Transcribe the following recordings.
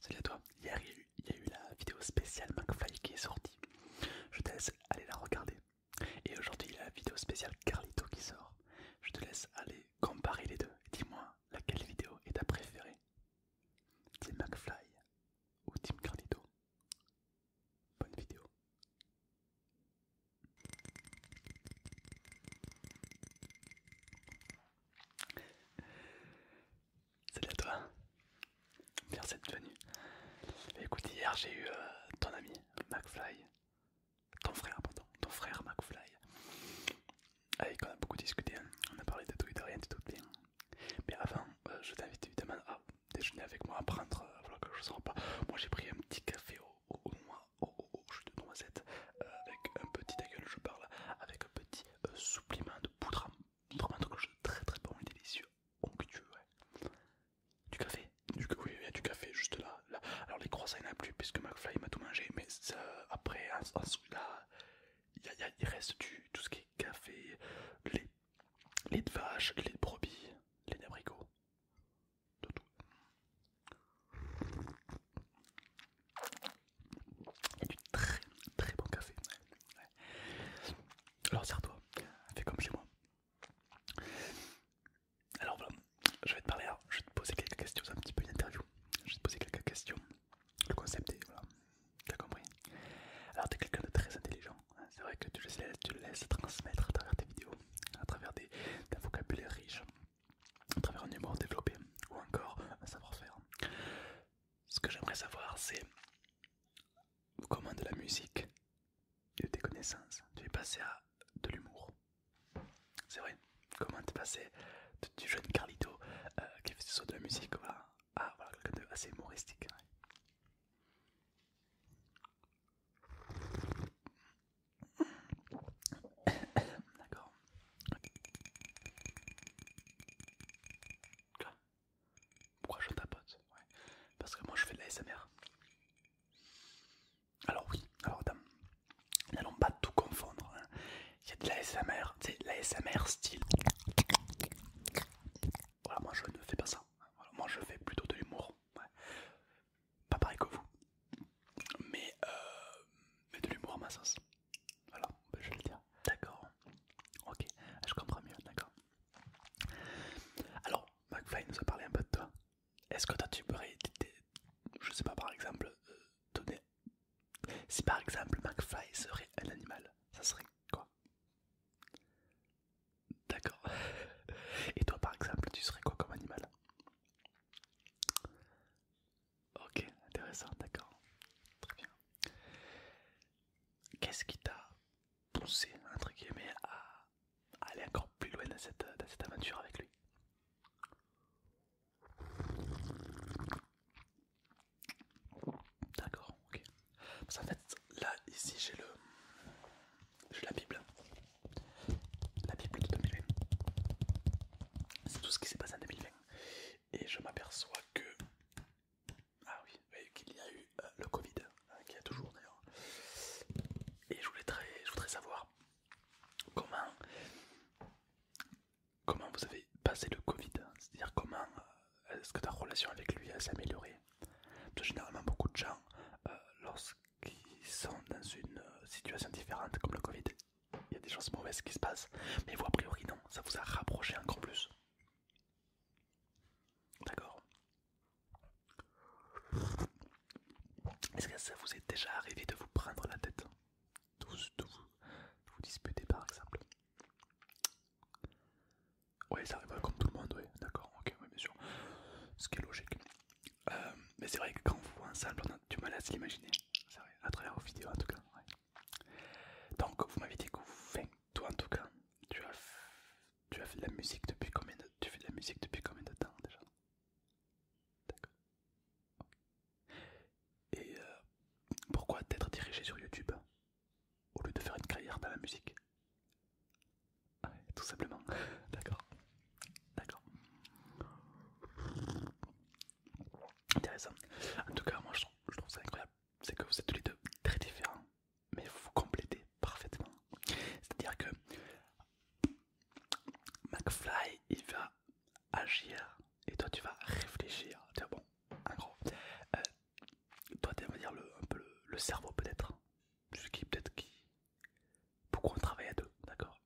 Salut à toi, hier il y a eu la vidéo spéciale McFly qui est sortie. Je te laisse aller la regarder. Et aujourd'hui il y a la vidéo spéciale Carlito qui sort. Je te laisse aller comparer les deux. Dis-moi laquelle vidéo est ta préférée. Tim McFly ou Team Carlito Bonne vidéo. Salut à toi. Merci cette venue. Écoute, hier j'ai eu euh, ton ami McFly, ton frère, pardon, ton frère McFly, avec on a beaucoup discuté. Hein. On a parlé de tout et de rien, de tout bien. Mais avant, euh, je t'invite évidemment à déjeuner avec moi, à prendre, euh, voilà que je ne sors pas. Moi j'ai pris un petit café au, au, Oh, oh, oh, je te de noisette, euh, avec un petit, ta je parle, avec un petit euh, supplément de poudre, vraiment quelque chose très très bon et délicieux, onctueux, ouais. Du café, du, oui, il y a du café juste là, là. alors les croissants il n'y plus puisque McFly m'a tout mangé, mais après, un là, il, y a, il, reste du, tout ce qui est café, lait, lait de vache, lait de brebis, lait d'abricot, tout. Et du très très bon café. Alors sers-toi, fais comme chez moi. Alors voilà, je vais te parler, je vais te poser quelques questions, un petit peu une interview. Je vais te poser quelques questions. Le concept est, voilà, t'as compris. Alors t'es quelqu'un de très intelligent, hein. c'est vrai que tu le, laisses, le transmettre à travers tes vidéos, à travers des, vocabulaire riche, à travers un humour développé ou encore un savoir-faire. Ce que j'aimerais savoir, c'est comment de la musique et de tes connaissances tu es passé à de l'humour. C'est vrai, comment tu es passé du jeune Carlito euh, qui fait ce de la musique à, quelqu'un de assez humoristique. D'accord. Pourquoi je tapote Parce que moi je fais de la Alors oui, alors dame, n'allons pas tout confondre. Hein. Il y a de la SMR, c'est la style. Voilà, moi je ne fais pas ça. moi je fais plutôt de l'humour pas pareil que vous, mais, euh, mais de l'humour à ma sens. Voilà, bah, je vais le dire. D'accord, ok, je comprends mieux, d'accord. Alors, McFly nous a parlé un peu de toi. Est-ce que toi tu pourrais, je sais pas par exemple, euh, donner. Si par exemple McFly serait un animal, ça serait quoi D'accord. Et toi par exemple, tu serais quoi comme animal Ok, intéressant, d'accord. Très bien. Qu'est-ce qui t'a poussé, entre guillemets, à aller encore plus loin dans cette, aventure avec lui D'accord, ok. Parce qu'en fait, là, ici, j'ai le... J'ai la Bible la Bible de 2020. C'est tout ce qui s'est passé en 2020. Et je m'aperçois que... Ah oui, qu'il y a eu euh, le Covid, hein, qui a toujours d'ailleurs. Et je voudrais savoir comment, comment vous avez passé le Covid. C'est-à-dire comment euh, est-ce que ta relation avec lui a s'amélioré Parce que généralement beaucoup de gens, euh, lorsqu'ils sont dans une situation différente comme le Covid, il y a des choses mauvaises qui se passent, mais vous a priori non, ça vous a rapproché encore plus. D'accord Est-ce que ça vous est déjà arrivé de vous prendre la tête Tous, de vous, disputer par exemple oui ça arrive comme tout le monde, oui, d'accord, ok, bien sûr. Ce qui est logique. Euh, mais c'est vrai que quand on vous voit ensemble, on a du mal à se l'imaginer. C'est vrai, à travers vos vidéos en tout cas. Donc vous m'avez dit que vous faites, toi en tout cas, tu as, tu as fait de la musique depuis combien de, tu fais de la musique depuis combien de temps déjà D'accord. Et euh, pourquoi t'être dirigé sur YouTube au lieu de faire une carrière dans la musique tout simplement, d'accord. D'accord. Intéressant. En tout cas, moi je trouve, ça incroyable. C'est que vous êtes tous les deux très différents, mais vous vous complétez parfaitement. C'est-à-dire que McFly il va agir et toi tu vas réfléchir. bon, en gros, euh, toi tu vas dire le, un peu le, cerveau peut-être, celui qui peut-être qui pourquoi on travaille à deux, d'accord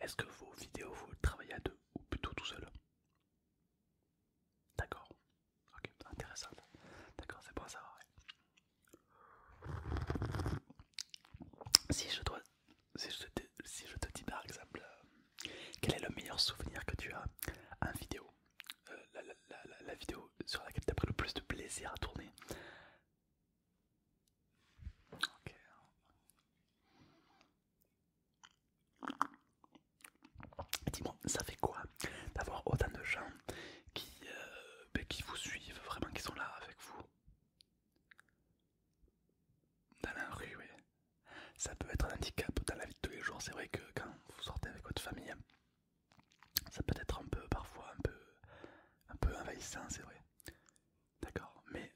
Est-ce que vos vidéos, vous travaillez à deux ou plutôt tout seul D'accord. Ok, intéressant. D'accord, c'est pour ça Si je, dois, si, je te, dis par exemple, euh, quel est le meilleur souvenir que tu as en vidéo euh, la, la vidéo sur laquelle tu as pris le plus de plaisir à tourner Ok. Dis-moi, ça fait quoi d'avoir autant de gens qui, euh, bah, qui vous suivent, vraiment qui sont là avec vous Dans la rue, oui. Ça peut être un handicap dans la vie de tous les jours. C'est vrai que quand vous sortez avec votre famille, ça peut être un peu, parfois, un peu, un peu envahissant, c'est vrai. D'accord, mais,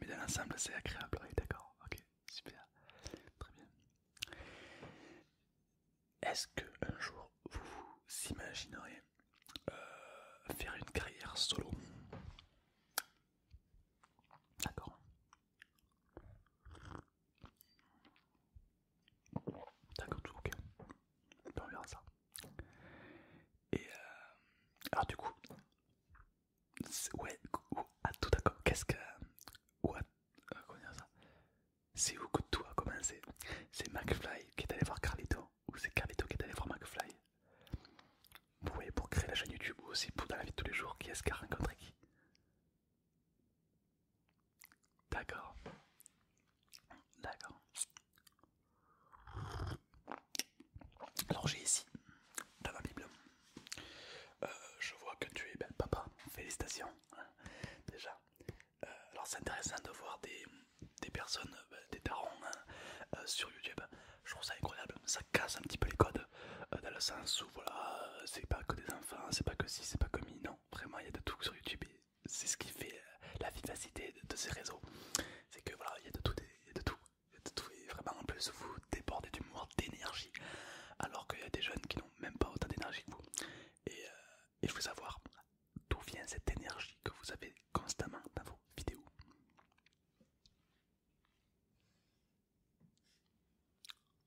mais dans l'ensemble c'est agréable, d'accord, ok, super, très bien. Est-ce que un jour vous vous imagineriez euh, faire une carrière solo D'accord. D'accord, tout ok. Et ça. Et euh, alors du coup, ouais, ah, à tout d'accord, qu'est-ce que... Ouais, ah, euh, comment dire ça C'est où que tout a commencé C'est McFly qui est allé voir Carlito ou c'est Carlito qui est allé voir McFly Vous pour créer la chaîne YouTube ou aussi pour dans la vie de tous les jours, qui est-ce qui a rencontré qui D'accord. D'accord. Alors j'ai ici, dans ma Bible, euh, je vois que tu es ben, papa, félicitations hein, déjà. Euh, alors c'est intéressant de voir des, des personnes, ben, des tarons hein, euh, sur YouTube, je trouve ça incroyable, ça casse un petit peu les codes dans le sens où voilà, c'est pas que des enfants, c'est pas que si, c'est pas que mi, non, vraiment il y a de tout sur YouTube et c'est ce qui fait la vivacité de ces réseaux c'est que voilà, il y a de tout, il y a de tout, et vraiment en plus vous débordez d'humour, d'énergie, alors qu'il y a des jeunes qui n'ont même pas autant d'énergie que vous. Et, il euh, et je savoir d'où vient cette énergie que vous avez constamment dans vos vidéos.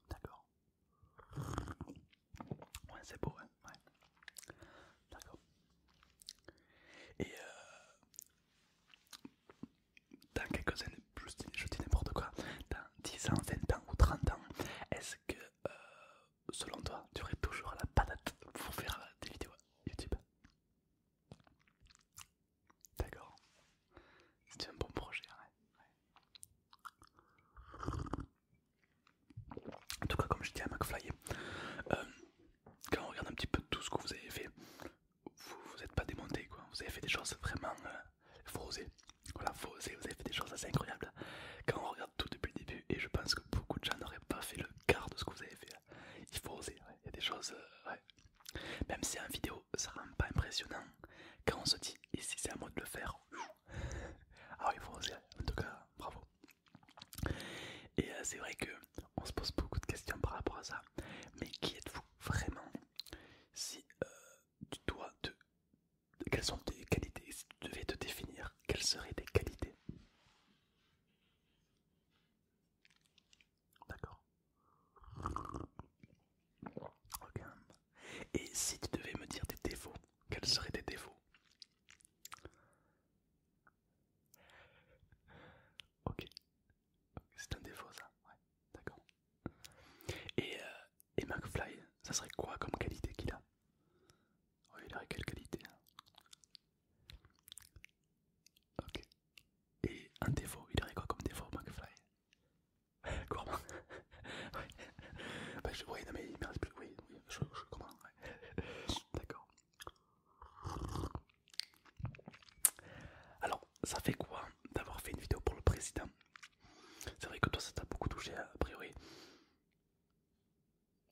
D'accord. Ouais, c'est beau, hein ouais. D'accord. Et euh, dans quelques années, je dis n'importe quoi, dans 10 ans, 20 ans ou 30 ans, est-ce que euh, selon toi, tu aurais toujours la patate pour faire des vidéos YouTube D'accord. C'est un bon projet, ouais. En tout cas, comme je dis à McFly, euh, quand on regarde un petit peu tout ce que vous avez fait, vous n'êtes pas démonté quoi. Vous avez fait des choses vraiment. Euh, voilà, Vous avez fait des choses assez incroyables. Quand on regarde tout depuis le début, et je pense que beaucoup de gens n'auraient pas fait le quart de ce que vous avez fait. Hein. Il faut oser. Il y a des choses. Euh, Même si en vidéo ça rend pas impressionnant, quand on se dit, et si c'est à moi de le faire, ah oui, il faut oser. En tout cas, bravo. Et euh, c'est vrai que on se pose beaucoup de questions par rapport à ça. Mais qui êtes-vous vraiment Si euh, tu dois te. Quelles sont tes qualités Si tu devais te définir, quelles seraient tes qualités D'accord. Et si tu devais me dire tes défauts, quels seraient tes défauts ok, c'est un défaut ça, ouais, d'accord. Et, euh, et McFly, ça serait quoi comme qualité qu'il a Oui, oh, il aurait quelle qualité hein Ok. Et un défaut, il aurait quoi comme défaut McFly Comment Ouais. Bah, je, non mais il me reste plus. Oui, je, je comprends. D'accord. Alors, ça fait quoi d'avoir fait une vidéo pour le président C'est vrai que toi, ça t'a beaucoup touché, a priori.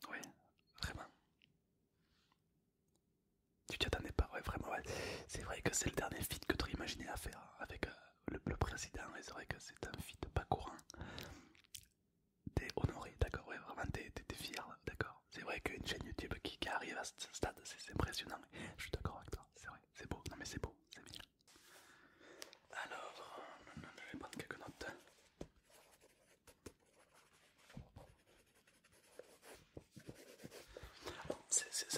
Ouais, vraiment. Tu t'y attendais pas, ouais, vraiment, ouais. C'est vrai que c'est le dernier feed que tu aurais imaginé à faire avec euh, le, président, et c'est vrai que c'est un feed pas courant t'es honoré, d'accord, ouais, vraiment t'es fier, d'accord. C'est vrai qu'une chaîne YouTube qui, arrive à ce stade, c'est impressionnant. Je suis d'accord avec toi, c'est vrai, c'est beau, non mais c'est beau, c'est bien. Alors, je vais prendre quelques notes.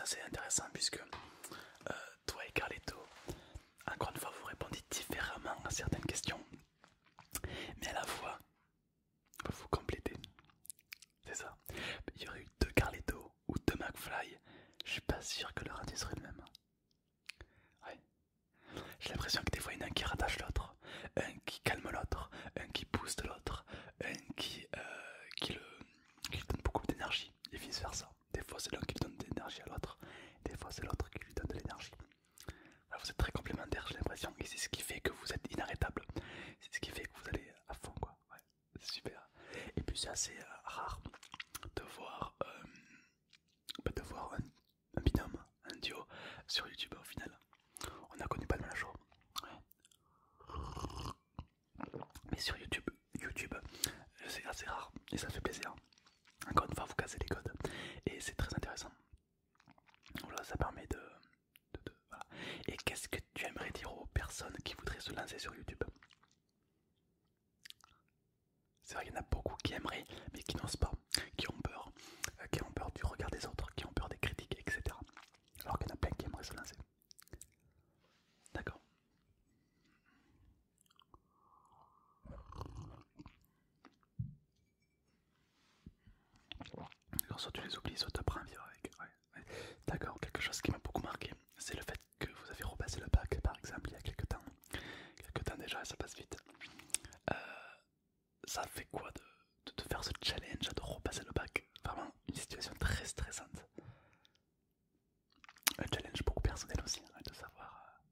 C'est intéressant puisque euh, toi et Carletto, encore une fois, vous répondez différemment à certaines questions mais à la fois, il faut compléter. C'est ça. Il y aurait eu deux Carletto ou deux McFly. Je suis pas sûr que le radis serait le même. J'ai l'impression que des fois il y en a un qui rattache l'autre, un qui calme l'autre, un qui booste l'autre, un qui, euh, qui, le, qui donne beaucoup d'énergie et vice versa. Des fois c'est l'un qui donne de l'énergie à l'autre, des fois c'est l'autre qui lui donne de l'énergie vous êtes très complémentaires, j'ai l'impression, et c'est ce qui fait que vous êtes inarrêtable. C'est ce qui fait que vous allez à fond, quoi. Ouais, super. Et puis c'est assez euh, rare de voir, euh, bah, de voir un, binôme, un duo sur YouTube au final. On n'a connu pas le même Mais sur YouTube, YouTube, c'est assez rare et ça fait plaisir. Encore une fois, vous cassez les codes et c'est très intéressant. Voilà, ça permet de. Et qu'est-ce que tu aimerais dire aux personnes qui voudraient se lancer sur YouTube C'est vrai qu'il y en a beaucoup qui aimeraient, mais qui n'osent pas, qui ont peur, euh, qui ont peur du regard des autres, qui ont peur des critiques, etc. Alors qu'il y en a plein qui aimeraient se lancer. D'accord. Alors soit tu les oublies, soit tu avec. D'accord, quelque chose qui m'a beaucoup marqué, c'est le fait que vous avez repassé le bac par exemple il y a quelques temps. Quelques temps déjà, ça passe vite. Euh, ça fait quoi de, de, faire ce challenge, de repasser le bac Vraiment une situation très stressante. Un challenge beaucoup personnel aussi, hein, de savoir euh,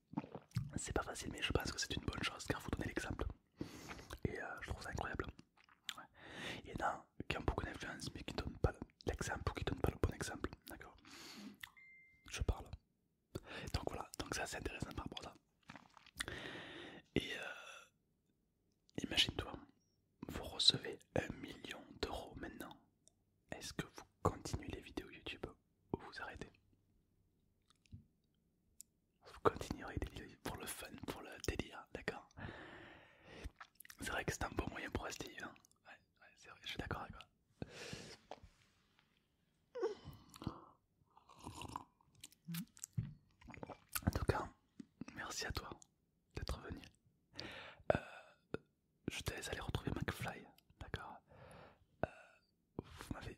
C'est pas facile, mais je pense que c'est une bonne chose car vous donnez l'exemple. Et euh, je trouve ça incroyable. Il y en a qui ont beaucoup d'influence mais qui donnent pas l'exemple ou qui donnent pas le bon exemple. D'accord Je parle. Donc voilà, donc ça c'est intéressant par rapport à ça. Et euh, imagine-toi, vous recevez un million d'euros maintenant. Est-ce que vous continuez les vidéos YouTube ou vous arrêtez vous continuerez pour le fun, pour le délire, d'accord C'est vrai que c'est un bon moyen pour rester hein. ouais, ouais c'est vrai, je suis d'accord avec toi. En tout cas, merci à toi d'être venu. Euh, je te laisse aller retrouver McFly, d'accord euh, Vous m'avez